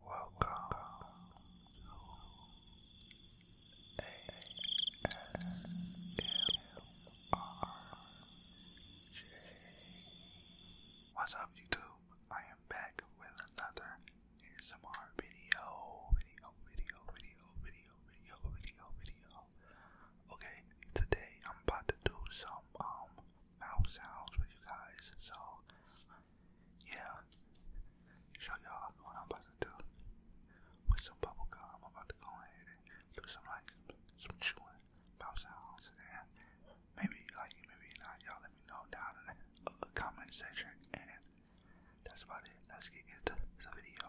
Welcome What's up, YouTube? I am back with another ASMR video. Video, video, video, video, video, video, video. Okay, today I'm about to do some um mouth sounds with you guys. So yeah. Show y'all what I'm about to do. With some bubble gum, I'm about to go ahead and do some like some chewing, pop and maybe like maybe not. Y'all let me know down in the uh, comment section. And that's about it. Let's get into the video.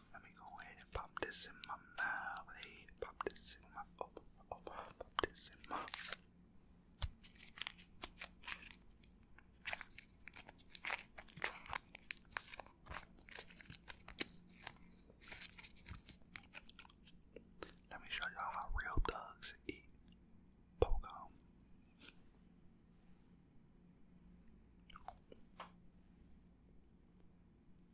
Let me go ahead and pop this in my mouth. Hey, pop pop this in my. Let me show y'all how real thugs eat bubblegum.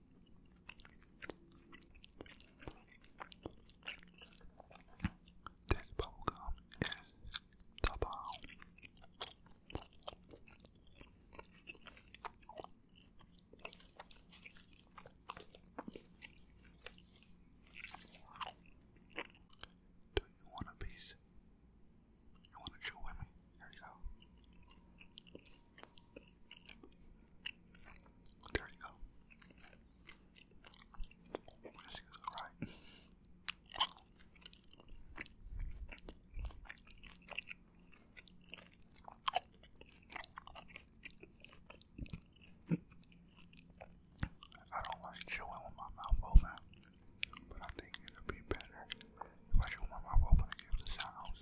This bubblegum is the Do you want a piece? You want to chew with me? Here you go. There you go. That's I don't like chewing with my mouth open, but I think it'll be better if I chew with my mouth open and give the sounds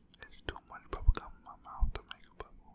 It's too much bubble gum in my mouth to make a bubble.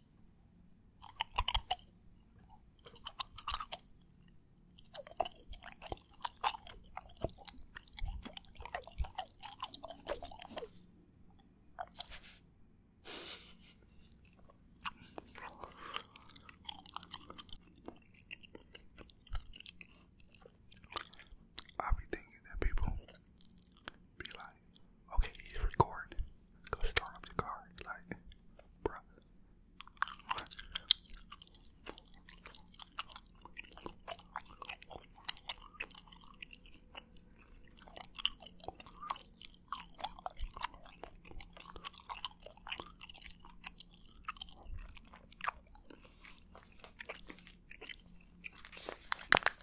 I be thinking that people be like, okay, he's recording. Go start up the car. Like, bruh.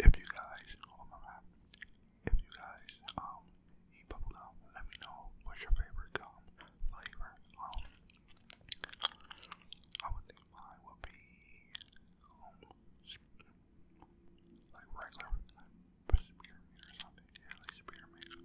If you guys, oh if you guys eat um, bubble gum, let me know what's your favorite gum flavor. Um, I would think mine would be um, like regular or something. Yeah, like spearmint.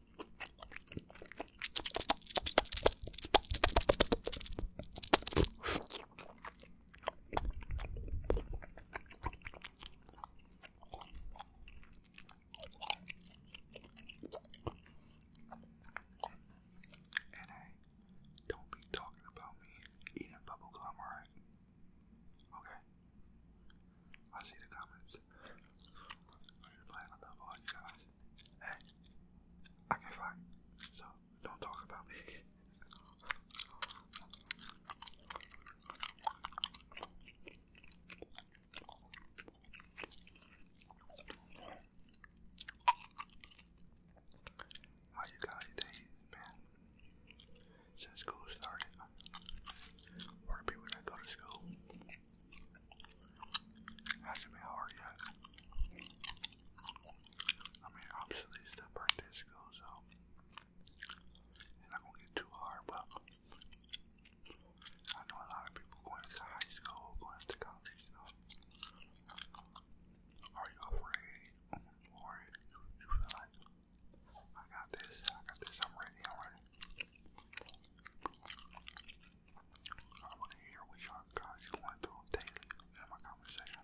And don't be talking about me eating bubblegum, alright? Okay. I see the comments. I'm just can fight, so don't talk about me. How you guys days been since school started? Or the people go to school? Hasn't been hard yet. I mean, obviously, it's the birthday school, so it's not gonna get too hard, but I know a lot of people going to high school, going to college, you know. Are you afraid? Or you, feel like, I got this, I got this, am ready, I'm ready. I want to hear what y'all guys going through daily in my conversation.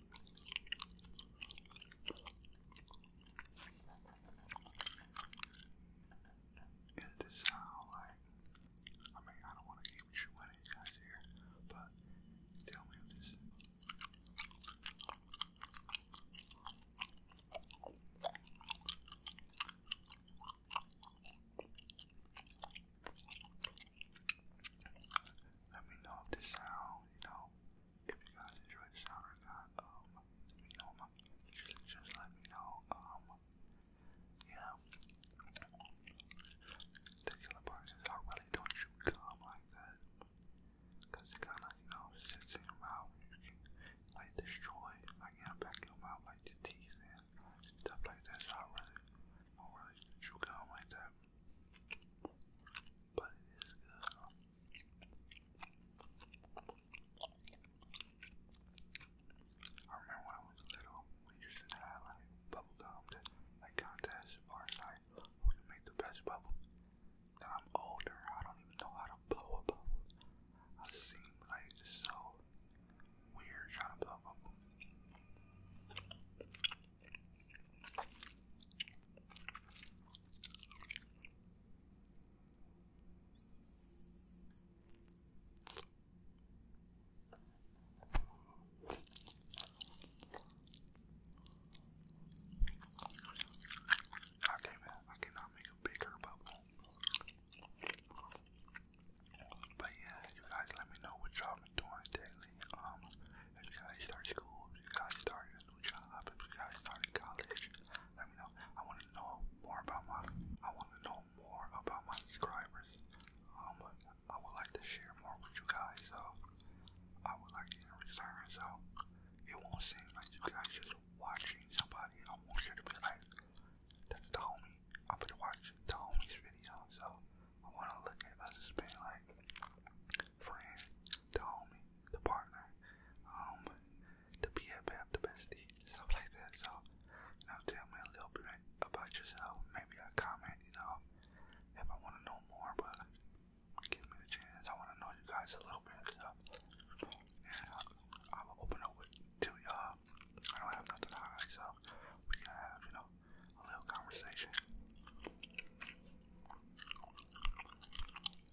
And it just I mean, I don't want to keep chewing these guys here, but tell me if this let me know if this sound, you know, if you guys enjoy the sound um, Just, just let me know. Um, yeah. The killer part is I really don't chew gum like that. Cause it kinda, you know, sits in your mouth. like, destroy, like, you your mouth, like, your teeth and stuff like that. So I really don't really gum like that. But it is good. I remember when I was little, we used to have bubble gum, just like contests, like who can make the best bubble. Now I'm older, I don't even know how to blow a bubble. I seem like so weird trying to blow a bubble. Okay, man, I cannot make a bigger bubble. But yeah, you guys let me know what y'all been doing daily. Um, you guys start school, you guys started new job, if you guys started college, let me know. I want to know more about my, I want to know more about my subscribers. Um, I would like to share more with you guys, so I would like in return, so it won't seem like you guys just watching somebody. I want you to be like, that's the homie. I'm gonna watch the homie's video, so I want to look at us as being like, friend, the homie, the partner, um, the BFF, the bestie, stuff like that. So, you know, tell me a little bit about yourself. Maybe a comment, you know, if I want to know more, but give me the chance. I want to know you guys a little bit. So, and I'll, I'll open up with to y'all. I don't have nothing to hide, so we can have, you know, a little conversation. And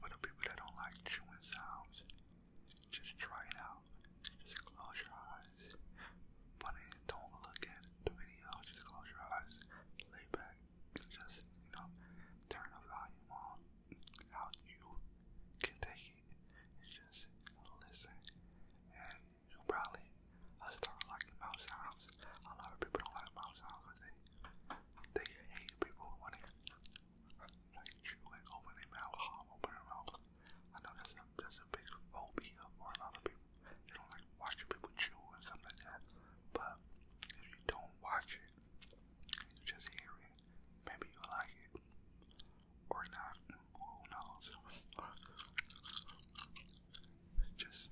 for the people that don't like chewing sounds, just try it out. Just close your eyes. Funny, don't look at the video. Just close your eyes, lay back, just, you know, turn the volume on how you can take it is just listen. And you probably I start liking mouth sounds. A lot of people don't like mouth sounds because they they hate people when they like chew and open their mouth, open their mouth. I know that's that's a big phobia for a lot of people. They don't like watching people chew and stuff like that. But if you don't watch it, you just hear it. Maybe you like it. Or not. Who knows? just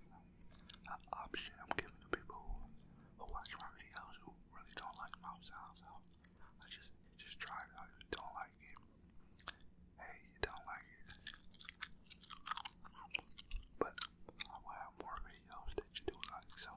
an option I'm giving to people who, watch my videos who really don't like mouth sounds. I just just try it don't like it, hey, you don't like it. But I will have more videos that you do like. So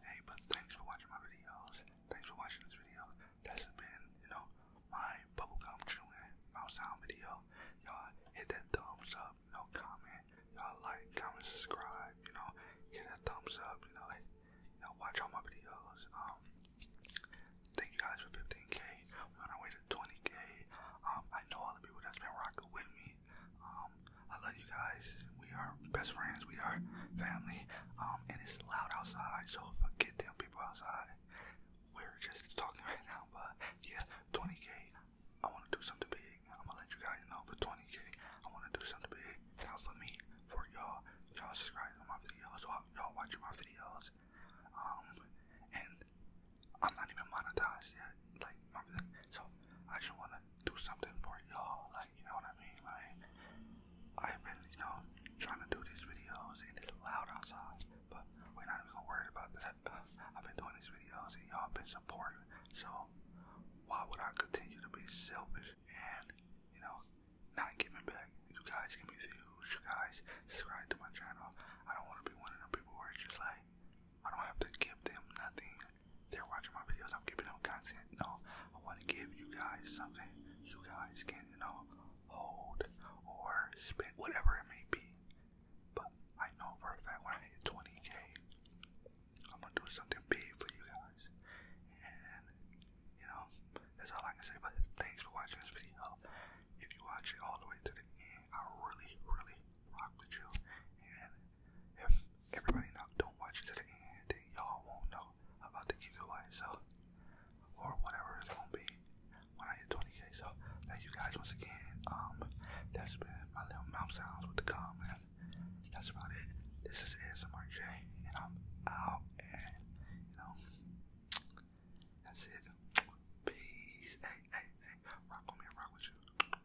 Hey, but thanks for watching my videos. Thanks for watching this video. That's been, you know, my bubblegum chewing mouth sound video. Y'all hit that thumbs up, No comment. Y'all like, comment, subscribe, you know, hit that thumbs up, you know, you know, watch all my videos. Um, thank you guys for 15k. we on our way to 20k. Um, I know all the people that's been rocking with me. Um, I love you guys. We are best friends. We are family. Um, and it's loud outside, so forget them people outside. We're just talking right now, but yeah, 20k. I want to do something big. I'm gonna let you guys know, but 20k. I want to do something big. Not for me, for y'all. Y'all subscribe to my videos. Y'all watching my videos. Um, and I'm not even monetized yet. Like my so I just wanna do something for y'all. Like, you know what I mean? Like, I've been, you know, trying to do these videos and it's loud outside, but we're not even going about that. I've been doing these videos and y'all have been supporting, so why would I continue to be selfish and, you know, not giving back? You guys give me views, you guys subscribe to my channel. I don't want to be one of them people where it's just like, I don't have to give them nothing they're watching my videos. I'm giving them content. No, I want to give you guys something you guys can, you know, hold or spit, whatever it may be. But I know for a fact when I hit 20k, I'm gonna do something big for you guys. And you know, that's all I can say. But thanks for watching this video. If you watch it all the way to the end, I really, really rock with you. And everybody now don't watch it to the end, y'all won't know about the giveaway, so or whatever it's gonna be when I hit 20k. So thank you guys once again. Um, that's been my little mouth sounds with the comment. That's about it. This is ASMR and I'm out, you know, that's it. Peace. Hey, hey, hey, rock with me, rock with you.